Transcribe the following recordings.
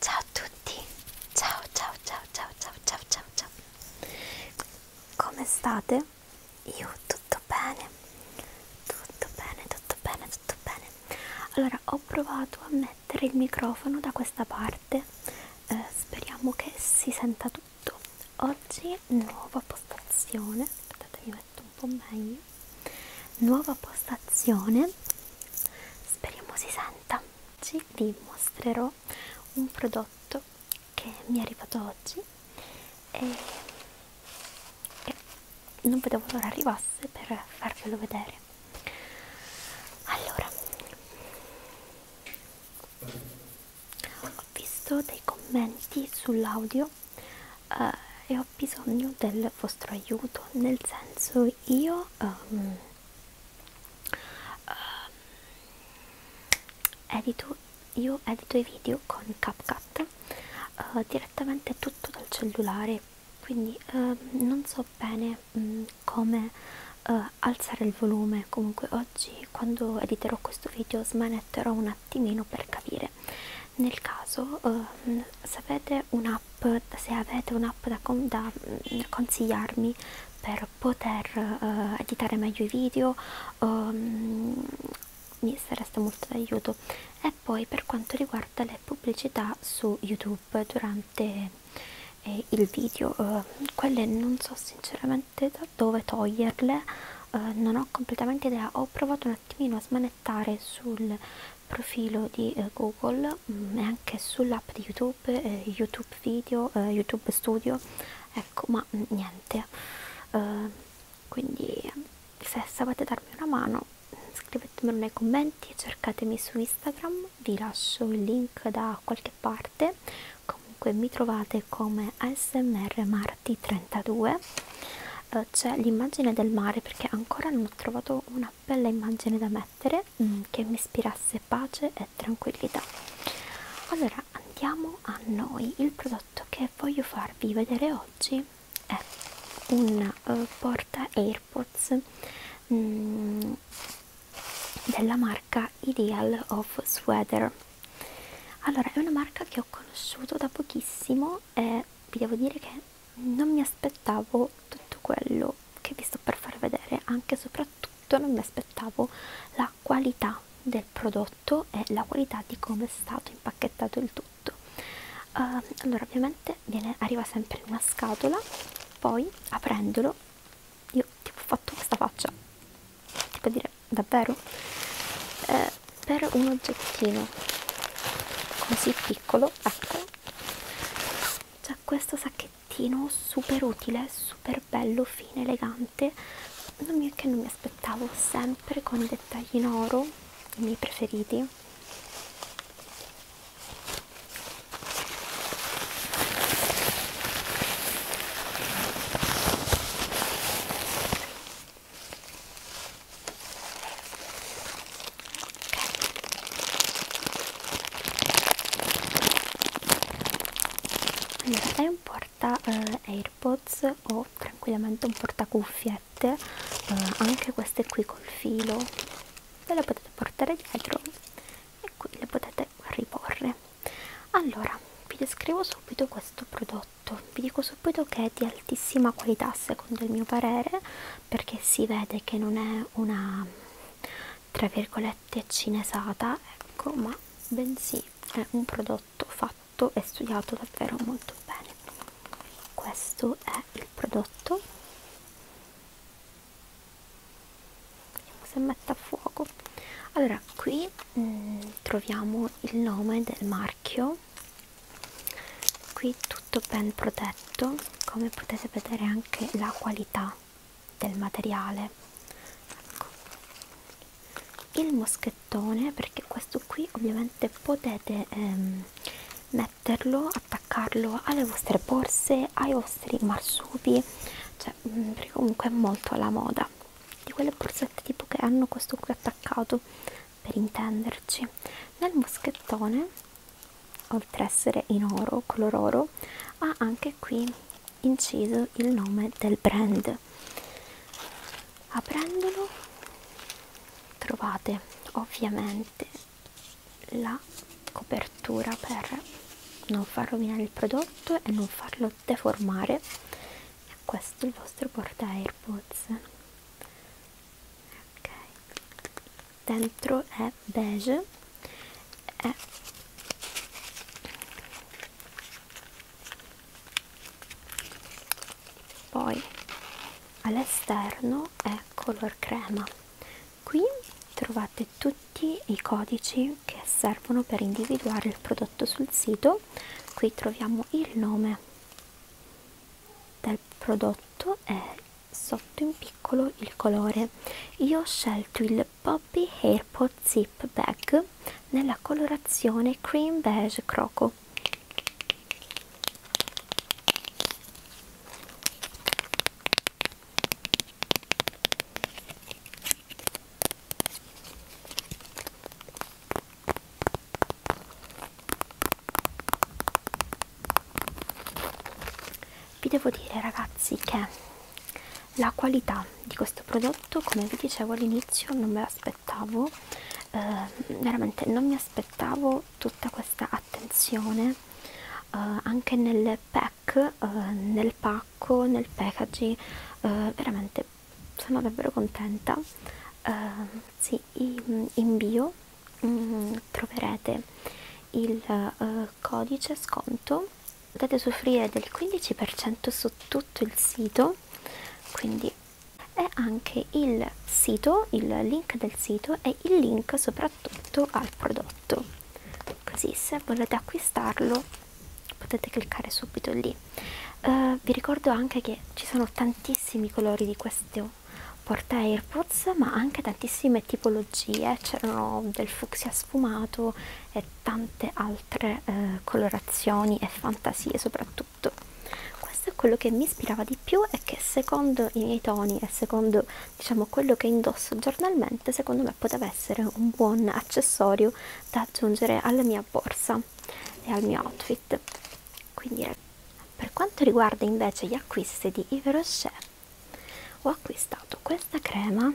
Ciao a tutti, ciao ciao ciao ciao ciao ciao ciao ciao Come state? Io tutto bene, tutto bene, tutto bene, tutto bene Allora ho provato a mettere il microfono da questa parte eh, Speriamo che si senta tutto Oggi nuova postazione, aspettate mi metto un po' meglio nuova postazione speriamo si senta oggi vi mostrerò un prodotto che mi è arrivato oggi e, e non vedevo l'ora arrivasse per farvelo vedere allora ho visto dei commenti sull'audio eh, e ho bisogno del vostro aiuto nel senso poi io um, uh, edito io edito i video con CapCut uh, direttamente tutto dal cellulare quindi uh, non so bene um, come uh, alzare il volume comunque oggi quando editerò questo video smanetterò un attimino per capire nel caso um, se avete un'app se avete un'app da, con, da um, consigliarmi per poter uh, editare meglio i video um, mi sareste molto d'aiuto e poi per quanto riguarda le pubblicità su youtube durante eh, il video uh, quelle non so sinceramente da dove toglierle uh, non ho completamente idea ho provato un attimino a smanettare sul profilo di eh, Google mh, mm, e anche sull'app di YouTube, eh, YouTube Video, eh, YouTube Studio, ecco, ma mh, mm, niente. Uh, quindi se sapete darmi una mano scrivetemelo nei commenti, cercatemi su Instagram, vi lascio il link da qualche parte. Comunque mi trovate come ASMR Marti32. Uh, eh, C'è l'immagine del mare perché ancora non ho trovato una bella immagine da mettere mm, che mi ispirasse pace e tranquillità allora andiamo a noi il prodotto che voglio farvi vedere oggi è un uh, porta airpods mm, della marca Ideal of Sweater allora è una marca che ho conosciuto da pochissimo e vi devo dire che non mi aspettavo tutto quello che vi sto per far vedere anche e soprattutto non mi aspettavo la qualità del prodotto e la qualità di come è stato impacchettato il tutto uh, allora ovviamente viene, arriva sempre in una scatola poi aprendolo io tipo ho fatto questa faccia tipo dire davvero eh, è per un oggettino così piccolo ecco c'è questo sacchettino super utile super bello fine elegante non mi, che non mi aspettavo sempre con i dettagli in oro i miei preferiti allora è un porta eh, airpods o tranquillamente un porta cuffiette eh, anche queste qui col filo ve le potete portare dietro e qui le potete riporre allora vi descrivo subito questo prodotto prodotto esatto. vi dico subito che è di altissima qualità secondo il mio parere perché si vede che non è una tra virgolette cinesata ecco ma bensì è un prodotto fatto e studiato davvero molto bene questo è il prodotto vediamo se mette a fuoco allora qui mh, mm, troviamo il nome del marchio qui tutto ben protetto come potete vedere anche la qualità del materiale ecco. il moschettone perché questo qui ovviamente potete ehm, metterlo attaccarlo alle vostre borse ai vostri marsupi cioè mm, perché comunque è molto alla moda di quelle borsette tipo che hanno questo qui attaccato per intenderci nel moschettone oltre a essere in oro color oro ha anche qui inciso il nome del brand aprendolo trovate ovviamente la copertura per non far rovinare il prodotto e non farlo notte formare e questo è il vostro porta airpods ok dentro è beige è poi all'esterno è color crema qui trovate tutti i codici che servono per individuare il prodotto prodotto sul sito qui troviamo il nome del prodotto e sotto in piccolo il colore io ho scelto il Poppy Airpod Zip Bag nella colorazione cream beige croco vi devo dire ragazzi che la qualità di questo prodotto come vi dicevo all'inizio non me l'aspettavo eh, veramente non mi aspettavo tutta questa attenzione eh, anche nel pack eh, nel pacco nel packaging eh, veramente sono davvero contenta uh, sì, in bio um, troverete il uh, codice sconto potete usufruire del 15% su tutto il sito quindi e anche il sito il link del sito e il link soprattutto al prodotto così se volete acquistarlo potete cliccare subito lì uh, vi ricordo anche che ci sono tantissimi colori di questo porta airpods ma anche tantissime tipologie c'erano del fucsia sfumato e tante altre eh, colorazioni e fantasie soprattutto questo è quello che mi ispirava di più e che secondo i miei toni e secondo diciamo quello che indosso giornalmente secondo me poteva essere un buon accessorio da aggiungere alla mia borsa e al mio outfit quindi per quanto riguarda invece gli acquisti di Yves Rocher ho acquistato questa crema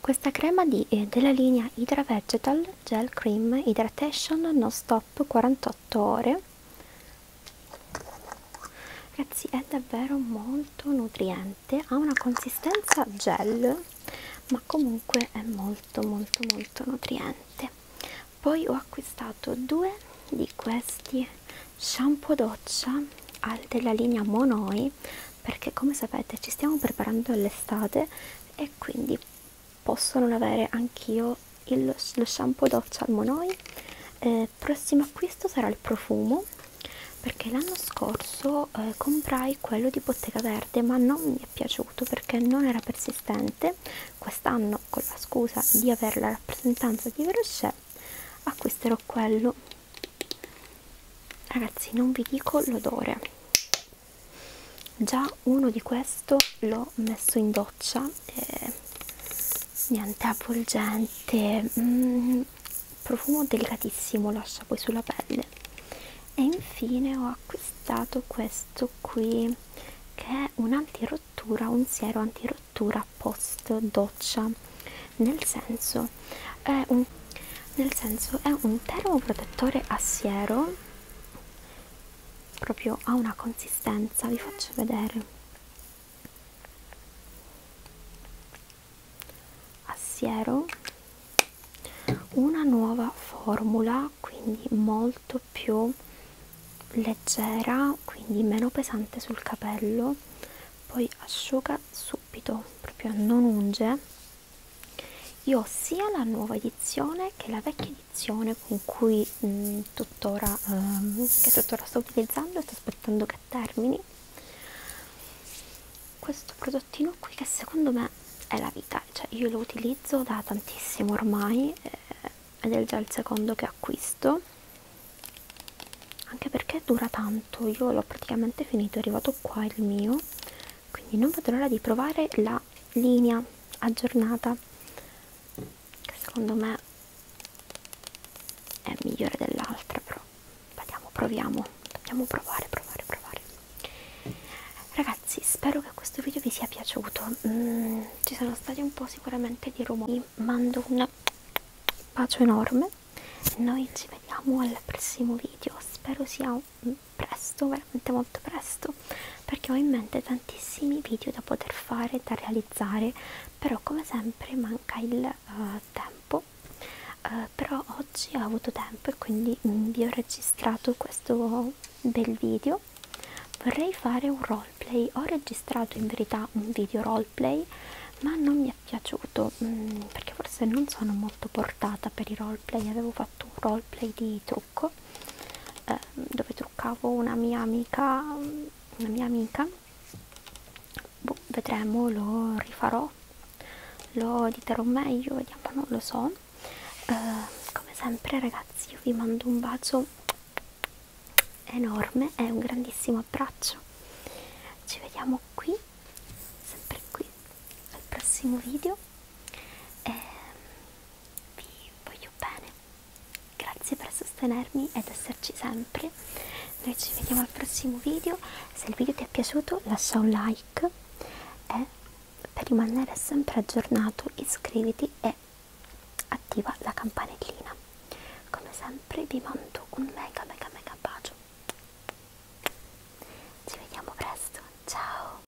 questa crema di, eh, della linea Hydra Vegetal Gel Cream Hydration Non Stop 48 ore ragazzi è davvero molto nutriente ha una consistenza gel ma comunque è molto molto molto nutriente poi ho acquistato due di questi shampoo doccia della linea monoi perché come sapete ci stiamo preparando all'estate e quindi posso non avere anch'io il, lo shampoo Dove Salmonoi eh, prossimo acquisto sarà il profumo perché l'anno scorso eh, comprai quello di Bottega Verde ma non mi è piaciuto perché non era persistente quest'anno con la scusa di avere la rappresentanza di Verochet acquisterò quello ragazzi non vi dico l'odore già uno di questo l'ho messo in doccia e eh, niente avvolgente mm, profumo delicatissimo lascia poi sulla pelle e infine ho acquistato questo qui che è un antirottura un siero antirottura post doccia nel senso è un, nel senso è un termoprotettore a siero proprio ha una consistenza vi faccio vedere a siero una nuova formula quindi molto più leggera quindi meno pesante sul capello poi asciuga subito proprio non unge io ho sia la nuova edizione che la vecchia tradizione con cui mh, mm, tuttora, um, che tuttora sto utilizzando e sto aspettando che termini questo prodottino qui che secondo me è la vita cioè io lo utilizzo da tantissimo ormai eh, ed è già il secondo che acquisto anche perché dura tanto io l'ho praticamente finito è arrivato qua il mio quindi non vedo l'ora di provare la linea aggiornata che secondo me è migliore dell'altra però vediamo proviamo dobbiamo provare provare provare ragazzi spero che questo video vi sia piaciuto mm, ci sono stati un po' sicuramente di rumori mando un bacio enorme noi ci vediamo al prossimo video spero sia presto veramente molto presto perché ho in mente tantissimi video da poter fare da realizzare però come sempre manca il uh, tempo uh, però oggi ho avuto tempo e quindi mm, vi ho registrato questo bel video vorrei fare un roleplay ho registrato in verità un video roleplay ma non mi è piaciuto mh, mm, perché forse non sono molto portata per i roleplay avevo fatto un roleplay di true trucco eh, dove truccavo una mia amica una mia amica boh, vedremo lo rifarò lo editerò meglio vediamo non lo so eh, come sempre ragazzi io vi mando un bacio enorme e un grandissimo abbraccio ci vediamo qui sempre qui al prossimo video e ehm, vi voglio bene grazie per sostenermi ed esserci sempre noi ci vediamo al prossimo video se il video ti è piaciuto lascia un like e per rimanere sempre aggiornato iscriviti e attiva la campanellina come sempre vi mando un mega mega mega bacio ci vediamo presto ciao